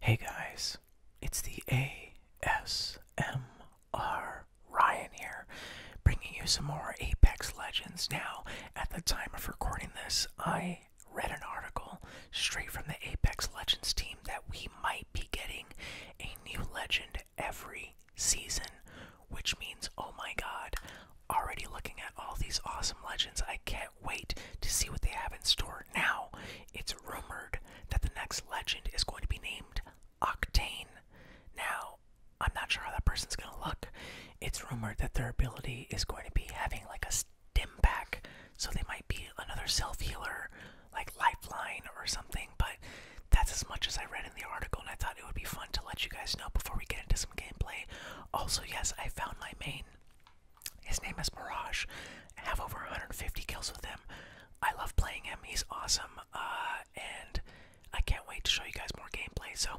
Hey guys, it's the ASMR Ryan here, bringing you some more Apex Legends. Now, at the time of recording this, I read an article straight from the Apex Legends team that we might be getting a new legend every season, which means, oh my god, already looking at all these awesome legends, I can't wait to see what they have in store. Now, it's rumored that the next legend is going to be named Octane. Now, I'm not sure how that person's going to look. It's rumored that their ability is going to be having like a stim pack, so they might be another self healer, like Lifeline or something, but that's as much as I read in the article, and I thought it would be fun to let you guys know before we get into some gameplay. Also, yes, I found my main. His name is Mirage. I have over 150 kills with him. I love playing him. He's awesome. Uh, and I can't wait to show you guys more gameplay. So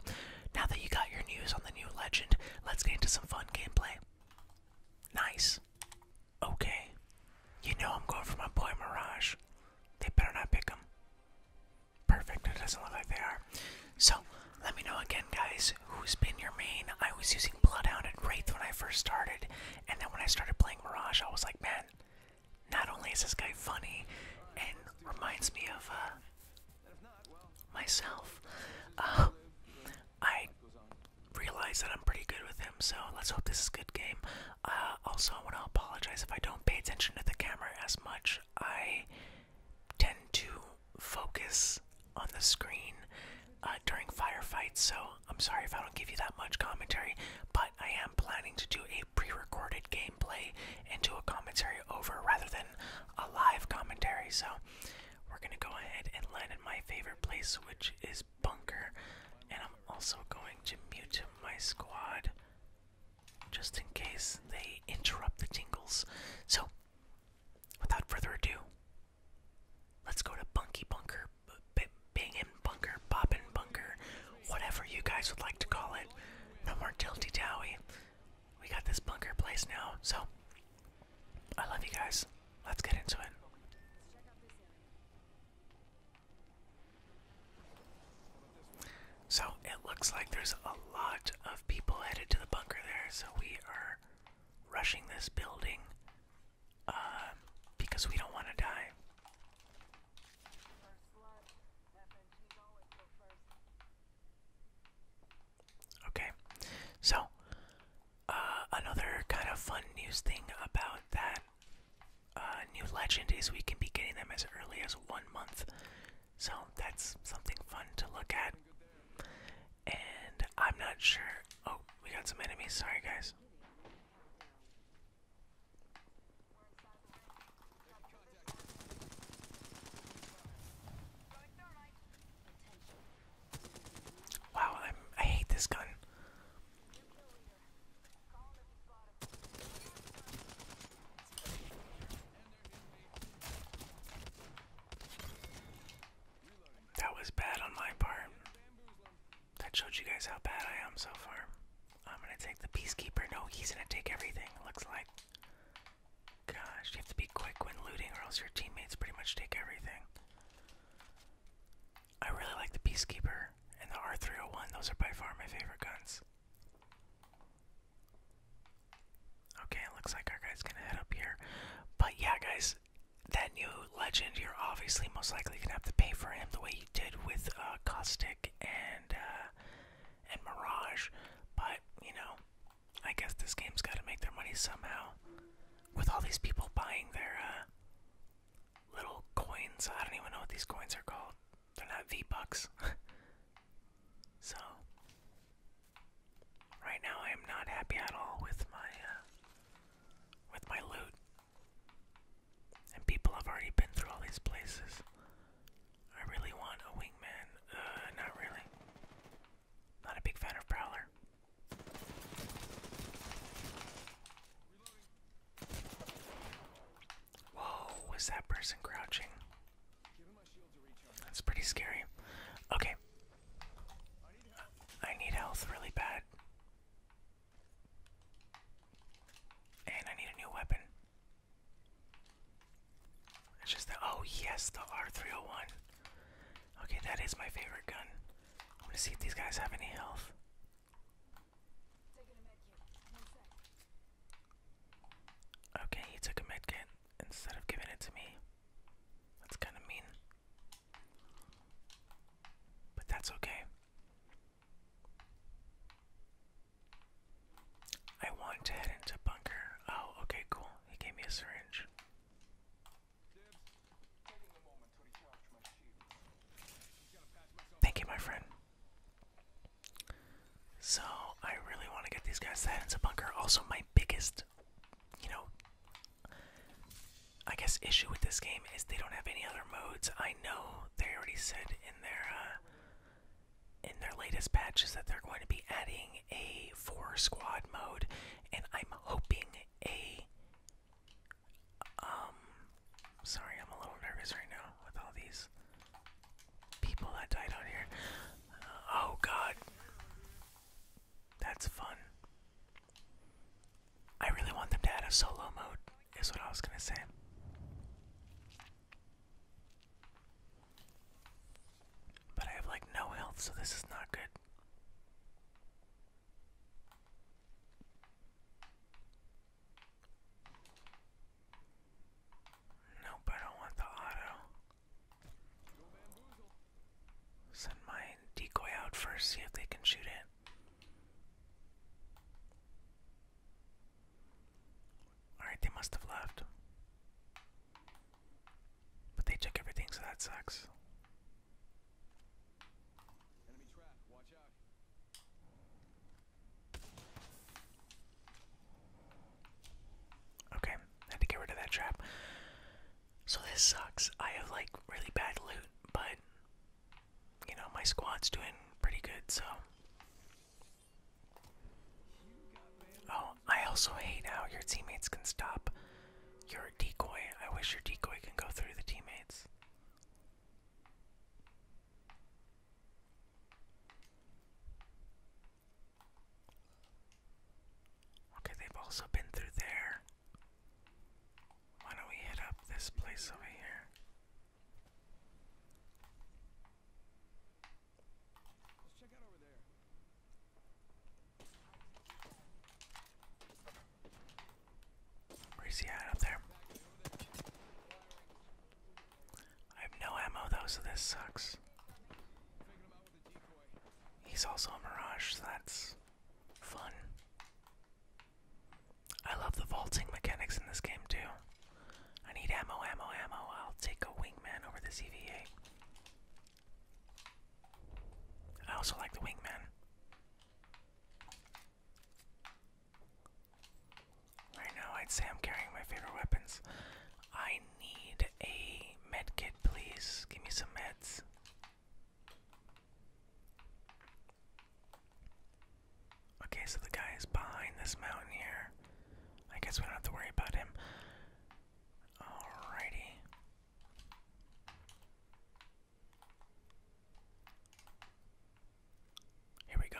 now that you got your news on the new legend, let's get into some fun gameplay. Nice. Okay. You know I'm going for my boy Mirage. They better not pick him. Perfect. It doesn't look like they are. So let me know again, guys, who's been your main. I was using Bloodhound and Wraith when I first started, and then when I started playing Mirage, I was like, man, not only is this guy funny and reminds me of uh, myself, uh, I realize that I'm pretty good with him, so let's hope this is a good game. Uh, also, I want to apologize if I don't pay attention to the camera as much. I tend to focus on the screen uh, during firefights, so I'm sorry if I don't give you that much commentary, but I am planning to do a pre recorded gameplay and do a commentary over rather than a live commentary. So we're gonna go ahead and land in my favorite place, which is Bunker, and I'm also going to mute my squad just in case they interrupt the tingles. So, without further ado, Let's go to Bunky Bunker, bing and Bunker, and Bunker, whatever you guys would like to call it. No more Tilty Towie. We got this bunker place now, so I love you guys. Let's get into it. So it looks like there's a lot of people headed to the bunker there, so we are rushing this building uh, because we don't want to die. Okay, so uh, another kind of fun news thing about that uh, new legend is we can be getting them as early as one month, so that's something fun to look at. And I'm not sure. Oh, we got some enemies. Sorry, guys. Wow, I'm, I hate this gun. That was bad on my part. That showed you guys how bad I am so far. I'm gonna take the peacekeeper. No, he's gonna take everything, it looks like. Gosh, you have to be quick when looting, or else your teammates pretty much take everything. I really like the peacekeeper and the R301, those are by far my favorite guns. Okay, it looks like our guy's gonna head up here. But yeah, guys, is that new legend, you're obviously most likely gonna have to pay for him the way you did with uh, Caustic and uh, and Mirage. But you know, I guess this game's got to make their money somehow. With all these people buying their uh, little coins, I don't even know what these coins are called. They're not V Bucks. so right now, I am not happy at all with my uh, with my loot. And people have already been through all these places. I really want a wingman. Uh, not really. Not a big fan of Prowler. Whoa, was that person crouching? That's pretty scary. Okay, I need health really bad. And I need a new weapon. It's just the oh yes, the R301. Okay, that is my favorite gun. I'm gonna see if these guys have any health. Okay, he took a medkit instead of giving it to me. That's kind of mean. But that's okay. I want to head into bunker. Oh, okay, cool. He gave me a syringe. Thank you, my friend. So, I really want to get these guys head into bunker. Also, my biggest, you know, I guess issue with this game is they don't have any other modes. I know they already said in their uh, in their latest patches that they're going to be adding a four squad mode, and I'm hoping a um. Sorry, I'm a little nervous right now with all these people that died out here. oh God. That's fun. I really want them to add a solo mode, is what I was gonna say. But I have like no health, so this is not good. Nope, I don't want the auto. Send my decoy out first, see if they can shoot it. Alright, they must have left. But they took everything, so that sucks. Okay, had to get rid of that trap. So this sucks. I have like really bad loot, but you know, my squad's doing pretty good, so. Oh, I also hate how your teammates can stop your decoy. I wish your decoy can go through the teammates. Okay, they've also been through there. Why don't we hit up this place over here? Where's he at up there? I have no ammo though, so this sucks. He's also a mirage, that's fun. I love the vaulting mechanics in this game too. I need ammo, ammo, ammo. I'll take a wingman over the CVA. I also like the wingman. Right now, I'd say I'm carrying my favorite weapons. I need a med kit, please. Give me some meds. Okay, so the guy is behind this mountain here. I guess we don't have to worry about him. Alrighty. Here we go.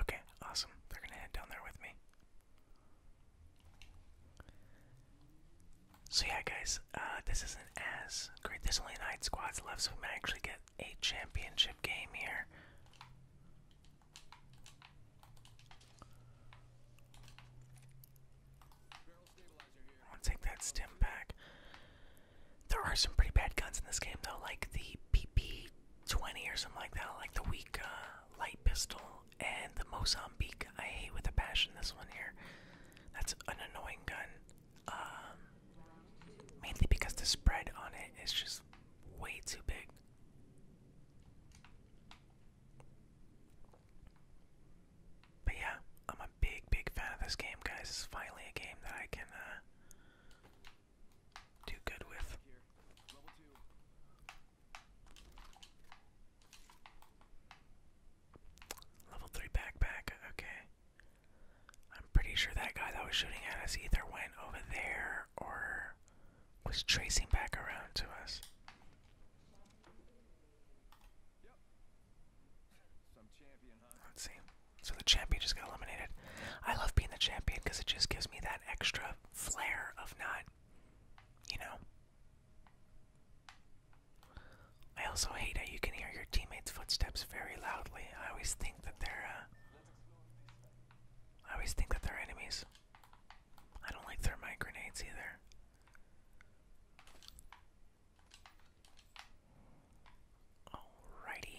Okay, awesome. They're gonna head down there with me. So yeah, guys, uh, this isn't as great. There's only nine squads left, so we might actually get a championship game here. I'll take that stem back. There are some pretty bad guns in this game though, like the PP twenty or something like that, like the weak uh, light pistol and the Mozambique. I hate with a passion this one here. That's an annoying gun. Um, mainly because the spread on it is just way too big. But yeah, I'm a big, big fan of this game, guys. It's finally a game that I can uh, do good with. Level 3 backpack, okay. I'm pretty sure that guy that was shooting at us either went over there or was tracing back around to us. Let's see. So the champion just got eliminated. I love being the champion because it just gives me that extra flair of not, you know. I also hate how you can hear your teammates' footsteps very loudly. I always think that they're, uh, I always think that they're enemies. I don't like thermite grenades either. Alrighty.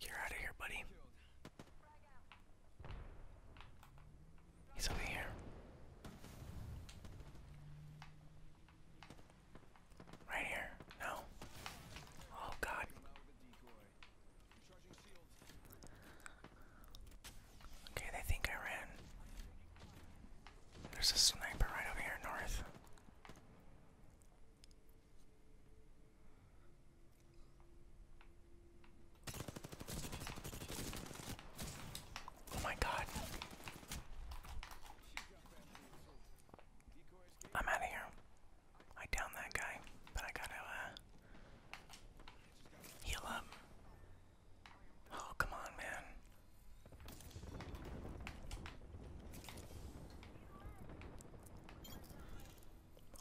You're out of here, buddy. He's over here. Right here. No. Oh, God. Okay, they think I ran. There's a sniper right over here north. Oh my god. I'm out of here. I downed that guy, but I gotta uh, heal up. Oh, come on, man.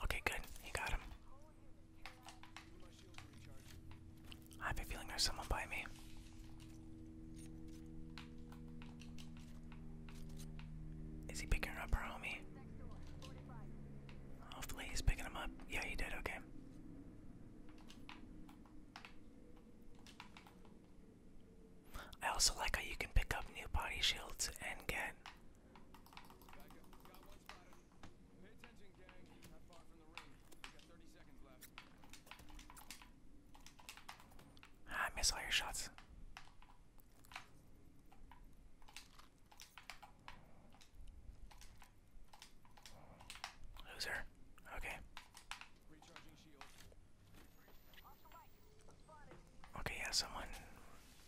Okay, good. He got him. I have a feeling there's someone by me. Is he picking up our homie? Hopefully he's picking him up. Yeah, he did, okay. I also like how you can pick up new body shields and get. I miss all your shots. Loser. Okay. Okay, yeah, someone.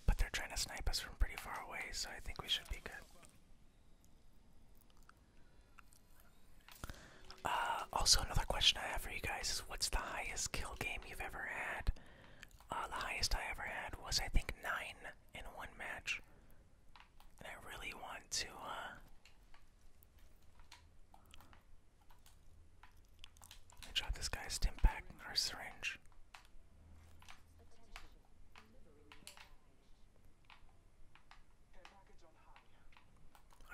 But they're trying to snipe us from pretty far away, so I think we should be good. Uh, also, another question I have for you guys is what's the highest kill game you've ever had? Uh, the highest I ever had was, I think, nine in one match. I really want to, uh, I shot this guy's stim pack or syringe.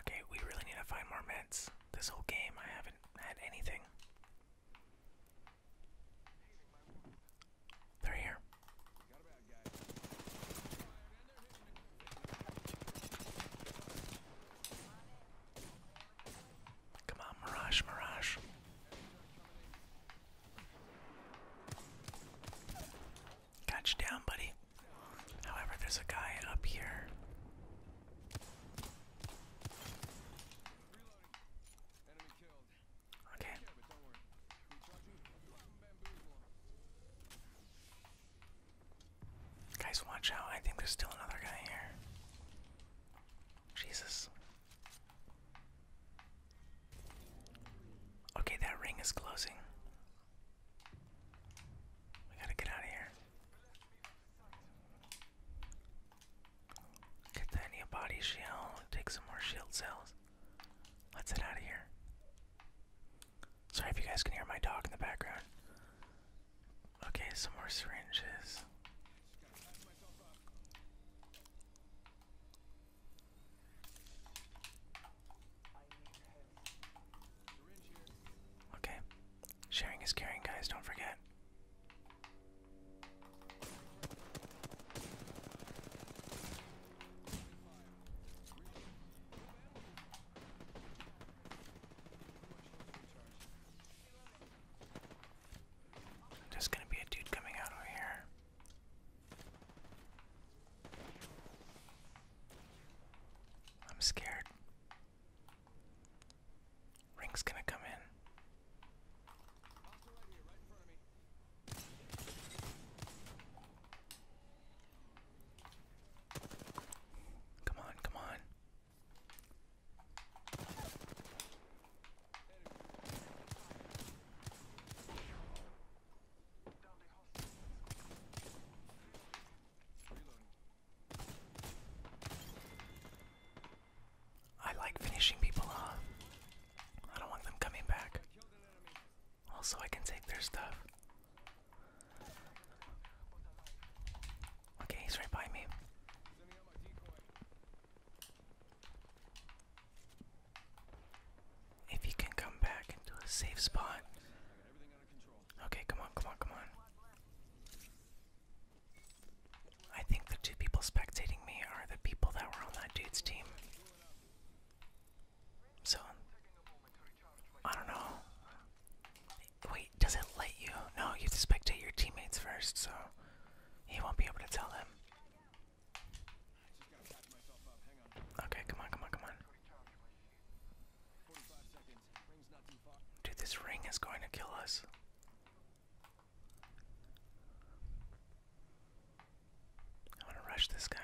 Okay, we really need to find more meds. This whole game, I haven't had anything. They're here. Come on, Mirage, Mirage. Got you down, buddy. However, there's a guy up here. Okay. Guys, watch out. I think there's still another guy here. Jesus. Okay, that ring is closing. We gotta get out of here. Get the a body shield, take some more shield cells. Let's get out of here. Sorry if you guys can hear my dog in the background. Okay, some more syringes. Okay. Sharing is caring, guys, don't forget. There's gonna be a dude coming out over here. I'm scared. Ring's gonna come in. Come on, come on. I like finishing people off. I don't want them coming back. Also, I can take their stuff. Okay, he's right by me. If he can come back into a safe spot. Okay, come on, come on, come on. I think the two people spectating me are the people that were on that dude's team. So I don't know. Wait, does it let you? No, you have to spectate your teammates first, so he won't be able to tell them. Okay, come on, come on, come on. Dude, this ring is going to kill us. I want to rush this guy.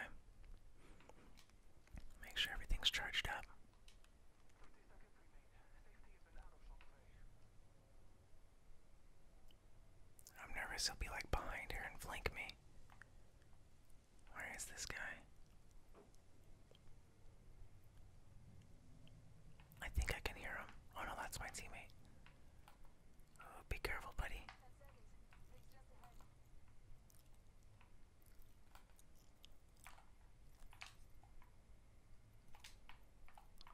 Make sure everything's charged up. I'm nervous he'll be like behind her and flank me. Where is this guy? I think I can hear him. Oh no, that's my teammate. Oh, be careful, buddy.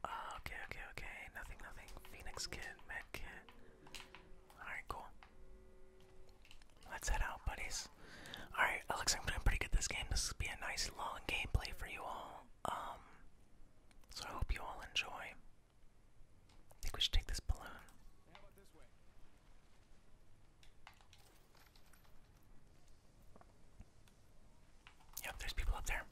Oh, okay, okay, okay. Nothing, nothing. Phoenix kit, med kit. Alright, cool. Let's head out, buddies. Alright, Alex, I'm doing pretty good this game. This will be a nice long gameplay for you all. Um, so I hope you all enjoy. I think we should take this balloon. Yep, there's people up there.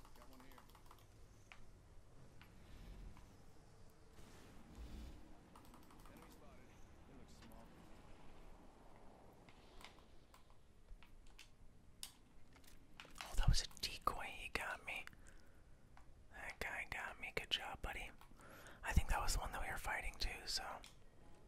Oh, that was a decoy. He got me. That guy got me. Good job, buddy. I think that was the one that we were fighting too, so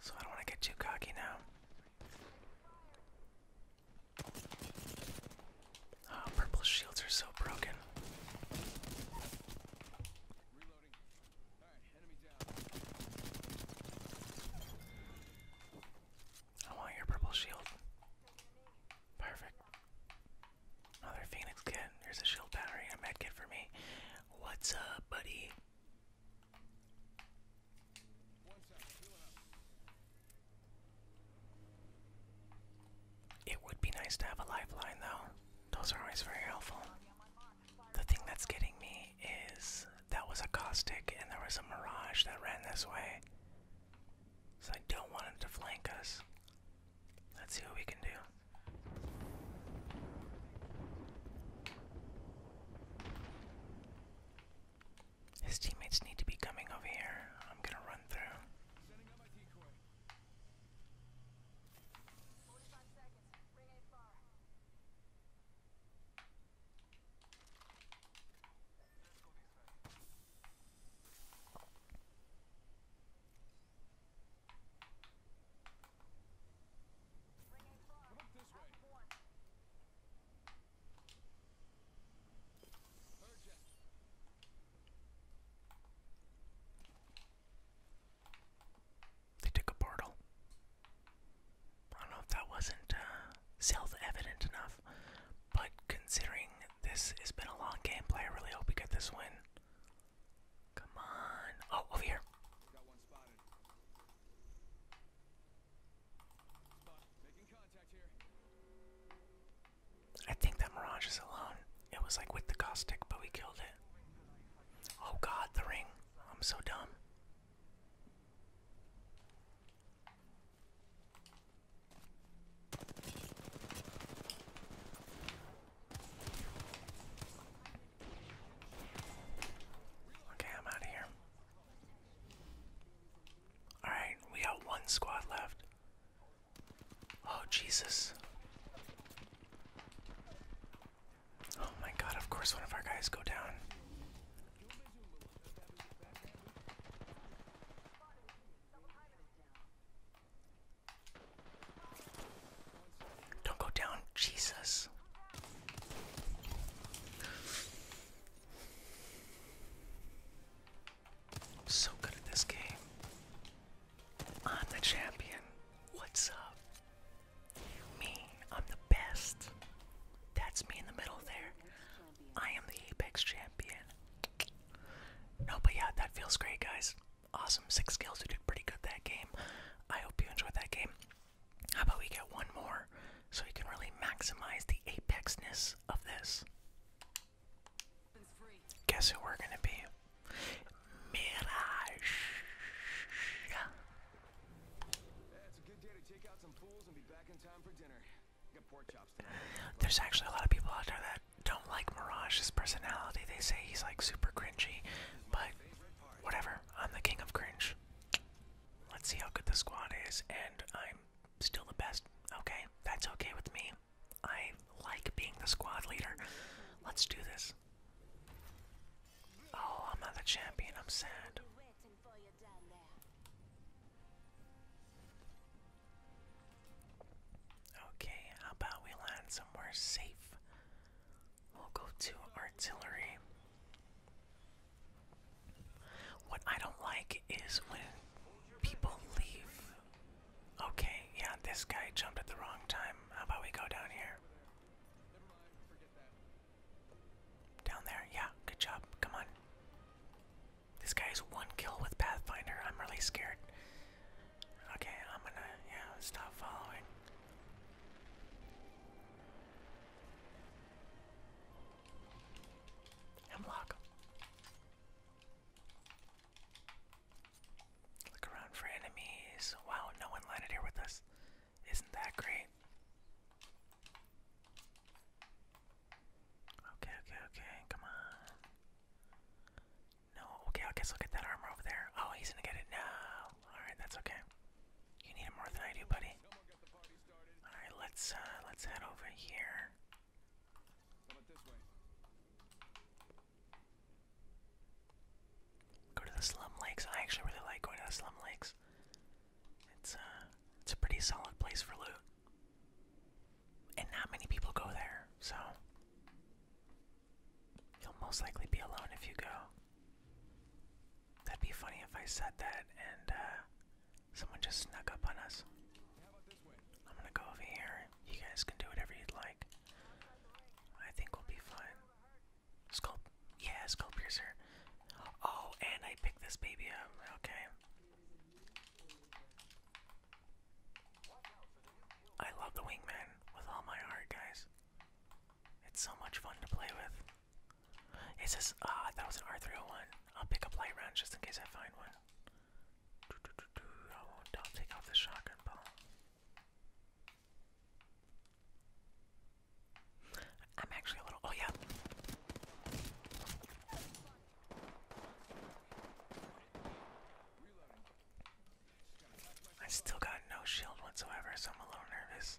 So I don't want to get too cocky now. Ah, purple shields are so broken. I want your purple shield. Perfect. Another Phoenix kit. Here's a shield battery a med kit for me. What's up, buddy? It would be nice to have a lifeline, though. Those are always very helpful. The thing that's getting me is that was a caustic, and there was a mirage that ran this way. So I don't want it to flank us. Let's see what we can do. His teammates need to be coming over here. I'm gonna run through. They took a portal. I don't know if that wasn't uh, self evident enough, but considering this has been a long gameplay, I really hope we get this win. Come on. Oh, over here. I think that Mirage is alone. It was like with the caustic, but we killed it. Oh god, the ring. I'm so dumb. Okay, I'm out of here. Alright, we got one squad left. Oh, Jesus. Oh my god, of course one of our guys go down. Don't go down, Jesus so good at this game. I'm the champion. What's up? Me, I'm the best. That's me in the middle there. I am the Apex champion. No, but yeah, that feels great, guys. Awesome. Six kills. We did pretty good that game. I hope you enjoyed that game. How about we get one more so we can really maximize the apexness of this? Guess who we're gonna be? Mirage. There's actually a lot of people out there that don't like Mirage's personality. They say he's like super cringy, but whatever. I'm the king of cringe. Let's see how good the squad is, and I'm still the best. Okay, that's okay with me. I like being the squad leader. Let's do this. Oh, I'm not the champion. I'm sad. Okay, how about we land somewhere safe? We'll go to artillery. What I don't like is when people leave. Okay, yeah, this guy jumped at the wrong time. How about we go down here? Down there, yeah, good job. Come on. This guy's one kill with Pathfinder. I'm really scared. Okay, I'm gonna, yeah, stop following. Hemlock. Look around for enemies. Wow, no one landed here with us. Isn't that great? Okay, okay, okay, come on. No, okay, I guess I'll get that armor over there. Oh, he's gonna get it now. Alright, that's okay. You need more than I do, buddy. All right, let's uh, let's head over here. Go to the slum lakes. I actually really like going to the slum lakes. It's uh, it's a pretty solid place for loot, and not many people go there. So you'll most likely be alone if you go. That'd be funny if I said that and uh, someone just snuck up on us. I'm gonna go over here. You guys can do whatever you'd like. I think we'll be fine. Sculpt. Yeah, Skull Oh, and I picked this baby up. Okay. I love the Wingman with all my heart, guys. It's so much fun to play with. It says, ah, was an R301. I'll pick up light rounds just in case I find one. I will take off the shotgun I'm actually a little, oh yeah. I still got no shield whatsoever, so I'm a little nervous.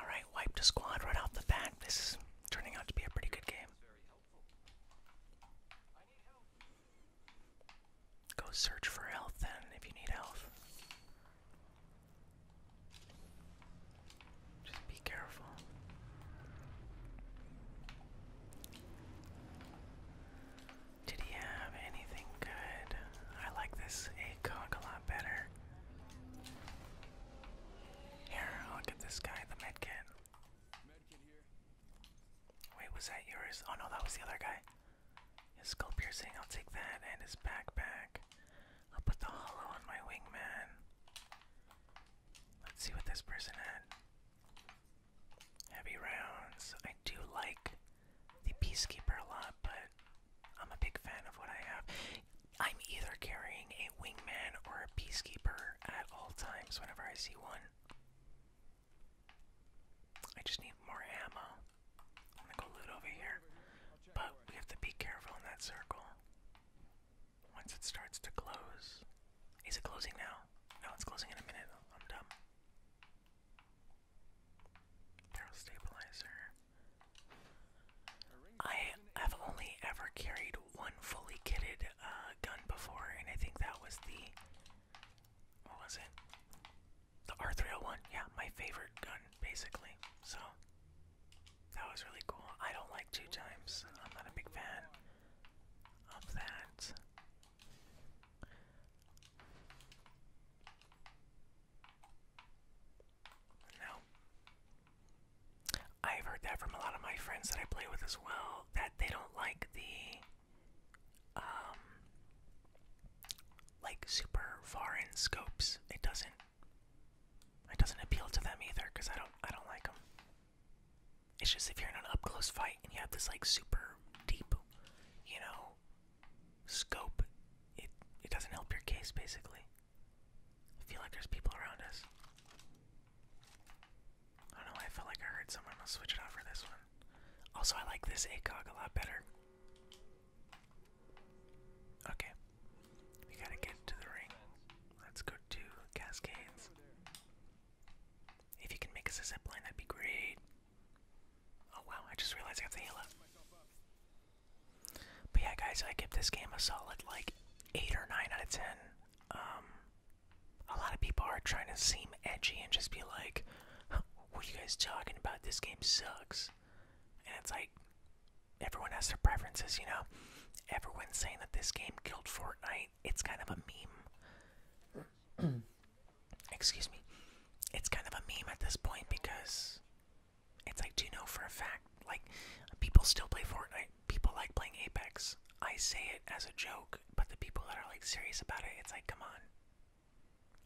Alright, wiped a squad right off the bat. This is turning out to be a pretty good game. Go search for health then if you need health. Just be careful. Did he have anything good? I like this ACOG a lot better. Here, I'll get this guy the medkit. Medkit Wait, was that yours? Oh no, that was the other guy. His skull piercing, I'll take that, and his backpack. I'll put the hollow on my wingman. Let's see what this person had. Heavy rounds. I do like the peacekeeper a lot, but I'm a big fan of what I have. I'm either carrying a wingman or a peacekeeper at all times whenever I see one. I just need more ammo. I'm gonna go loot over here. But we have to be careful in that circle. Once it starts to close. Is it closing now? No, it's closing in a minute. I'm dumb. Barrel stabilizer. I have only ever carried one fully kitted uh, gun before, and I think that was the. What was it? The R301. Yeah, my favorite gun, basically. So, that was really cool. I don't like two times, I'm not a big fan of that. No. I've heard that from a lot of my friends that I play with as well, that they don't like the um like super far in scopes. It doesn't it doesn't appeal to them either cuz I don't I don't like them. It's just if you're in an up close fight and you have this like super deep, you know, scope, it it doesn't help your case basically. I feel like there's people around us. I don't know, I felt like I heard someone. I'll switch it off for this one. Also, I like this ACOG a lot better. Okay. We gotta get to the ring. Let's go to Cascades. If you can make us a zipline, that'd be great. Oh wow, I just realized I have the heal but yeah, guys, I give this game a solid like eight or nine out of ten. Um, a lot of people are trying to seem edgy and just be like, "What are you guys talking about? This game sucks." And it's like everyone has their preferences, you know. Everyone's saying that this game killed Fortnite. It's kind of a meme. Excuse me. It's kind of a meme at this point because it's like, do you know for a fact, like, people still play Fortnite. People like playing Apex. I say it as a joke, but the people that are like serious about it, it's like, come on.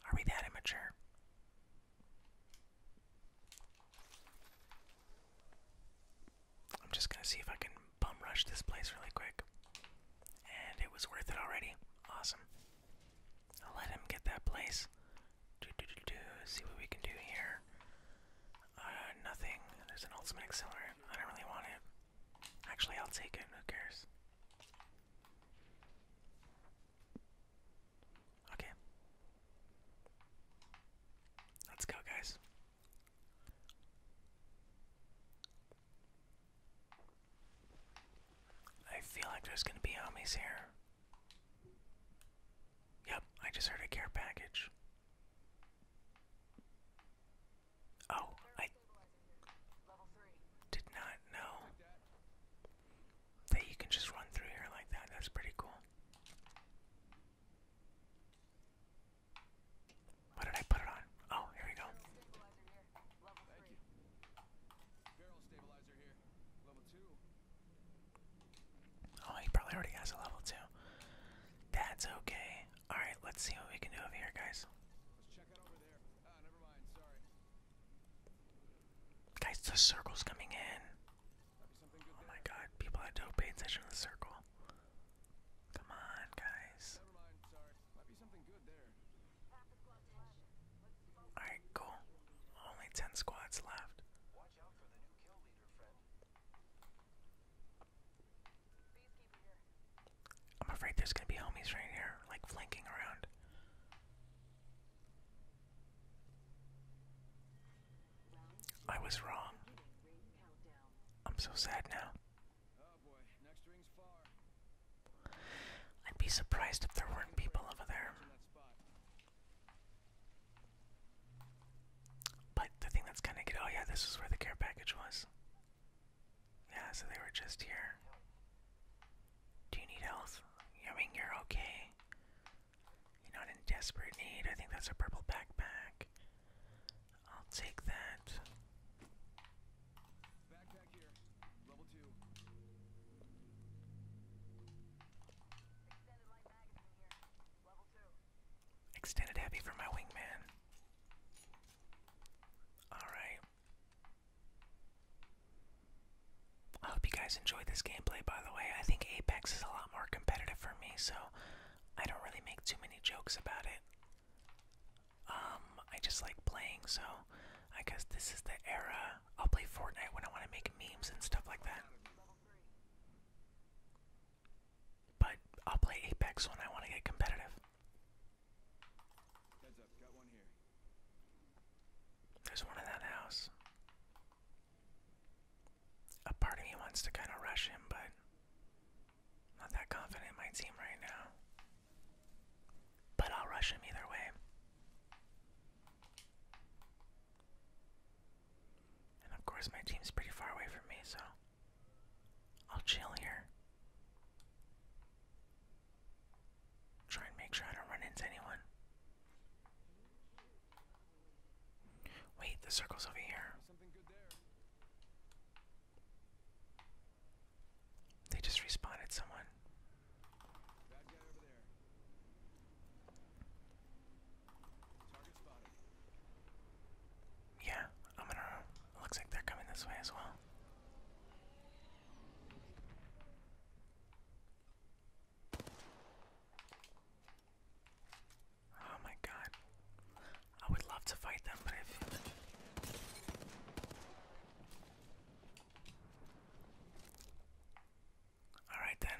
Are we that immature? I'm just gonna see if I can bum rush this place really quick. And it was worth it already. Awesome. I'll let him get that place. Do, do, do, do. See what we can do here. Uh, nothing. There's an ultimate accelerant. I don't really want it. Actually, I'll take it. Who cares? Okay. Let's go, guys. I feel like there's gonna be homies here. Yep, I just heard a care package. Oh, I did not know that you can just run through here like that. That's pretty cool. What did I put it on? Oh, here we go. Oh, he probably already has a level two. That's okay. All right, let's see what we can do over here, guys. Guys, the circle's coming in. Oh my God! People that don't attention to the circle. Come on, guys. All right, cool. Only ten squads left. I'm afraid there's gonna be homies right here, like flanking around. I was wrong. I'm so sad now. I'd be surprised if there weren't people over there. But the thing that's kind of good. Oh, yeah, this is where the care package was. Yeah, so they were just here. Do you need health? I mean, you're okay. You're not in desperate need. I think that's a purple backpack. I'll take that. Extended heavy for my wingman. Alright. I hope you guys enjoyed this gameplay, by the way. I think Apex is a lot more competitive for me, so I don't really make too many jokes about it. Um, I just like playing, so I guess this is the era. I'll play Fortnite when I want to make memes and stuff like that. But I'll play Apex when I want to get competitive. Heads up, got one here. There's one in that house. A part of me wants to kind of rush him, but not that confident my team right now. But I'll rush him either way. And of course, my team's pretty far away from me, so I'll chill here. Try and make sure I don't run into anyone. Wait, the circle's over here. They just respawned someone. Yeah, I'm gonna. Looks like they're coming this way as well. Oh my god. I would love to fight them, but I feel Alright then.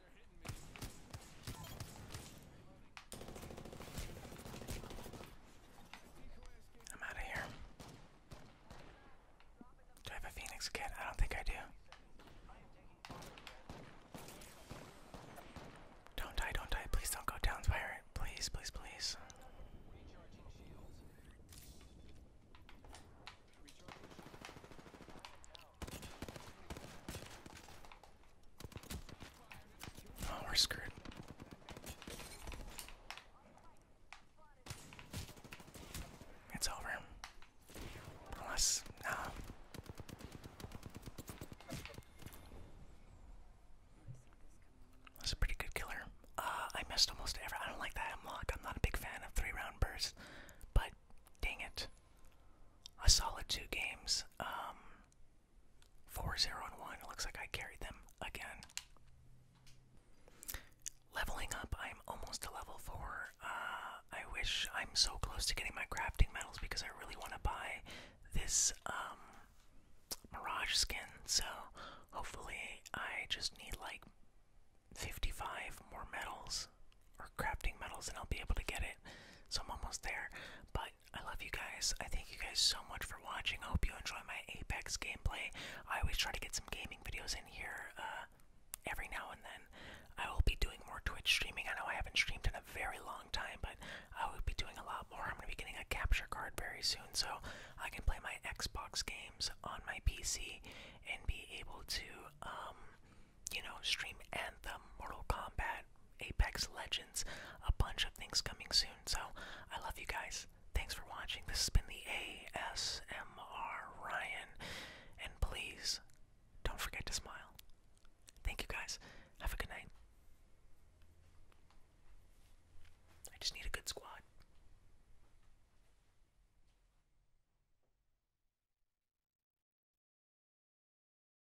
I'm out of here. Do I have a Phoenix kit? I don't think I do. Don't die, don't die. Please don't go down, pirate. Please, please, please. Oh, we're screwed. It's over. Unless, no. Uh, that's a pretty good killer. Uh, I missed almost ever. I don't like that hemlock. I'm not a big fan of three round bursts, but dang it. A solid two games. Um, Four, zero, and one. It looks like I carried them again. Leveling up, I'm almost to level four. Uh, I wish I'm so close to getting my crafting metals because I really want to buy this um, Mirage skin. So hopefully, I just need like 55 more metals or crafting metals and I'll be able to get it. So I'm almost there. But I love you guys. I thank you guys so much for watching. I hope you enjoy my Apex gameplay. I always try to get some gaming videos in here uh, every now and then. I will be doing more Twitch streaming. I know I haven't streamed in a very long time, but I will be doing a lot more. I'm going to be getting a capture card very soon so I can play my Xbox games on my PC and be able to, um, you know, stream Anthem, Mortal Kombat, Apex Legends, a bunch of things coming soon. So I love you guys. Thanks for watching. This has been the ASMR Ryan. And please don't forget to smile. Thank you guys. Have a good night. I just need a good squad.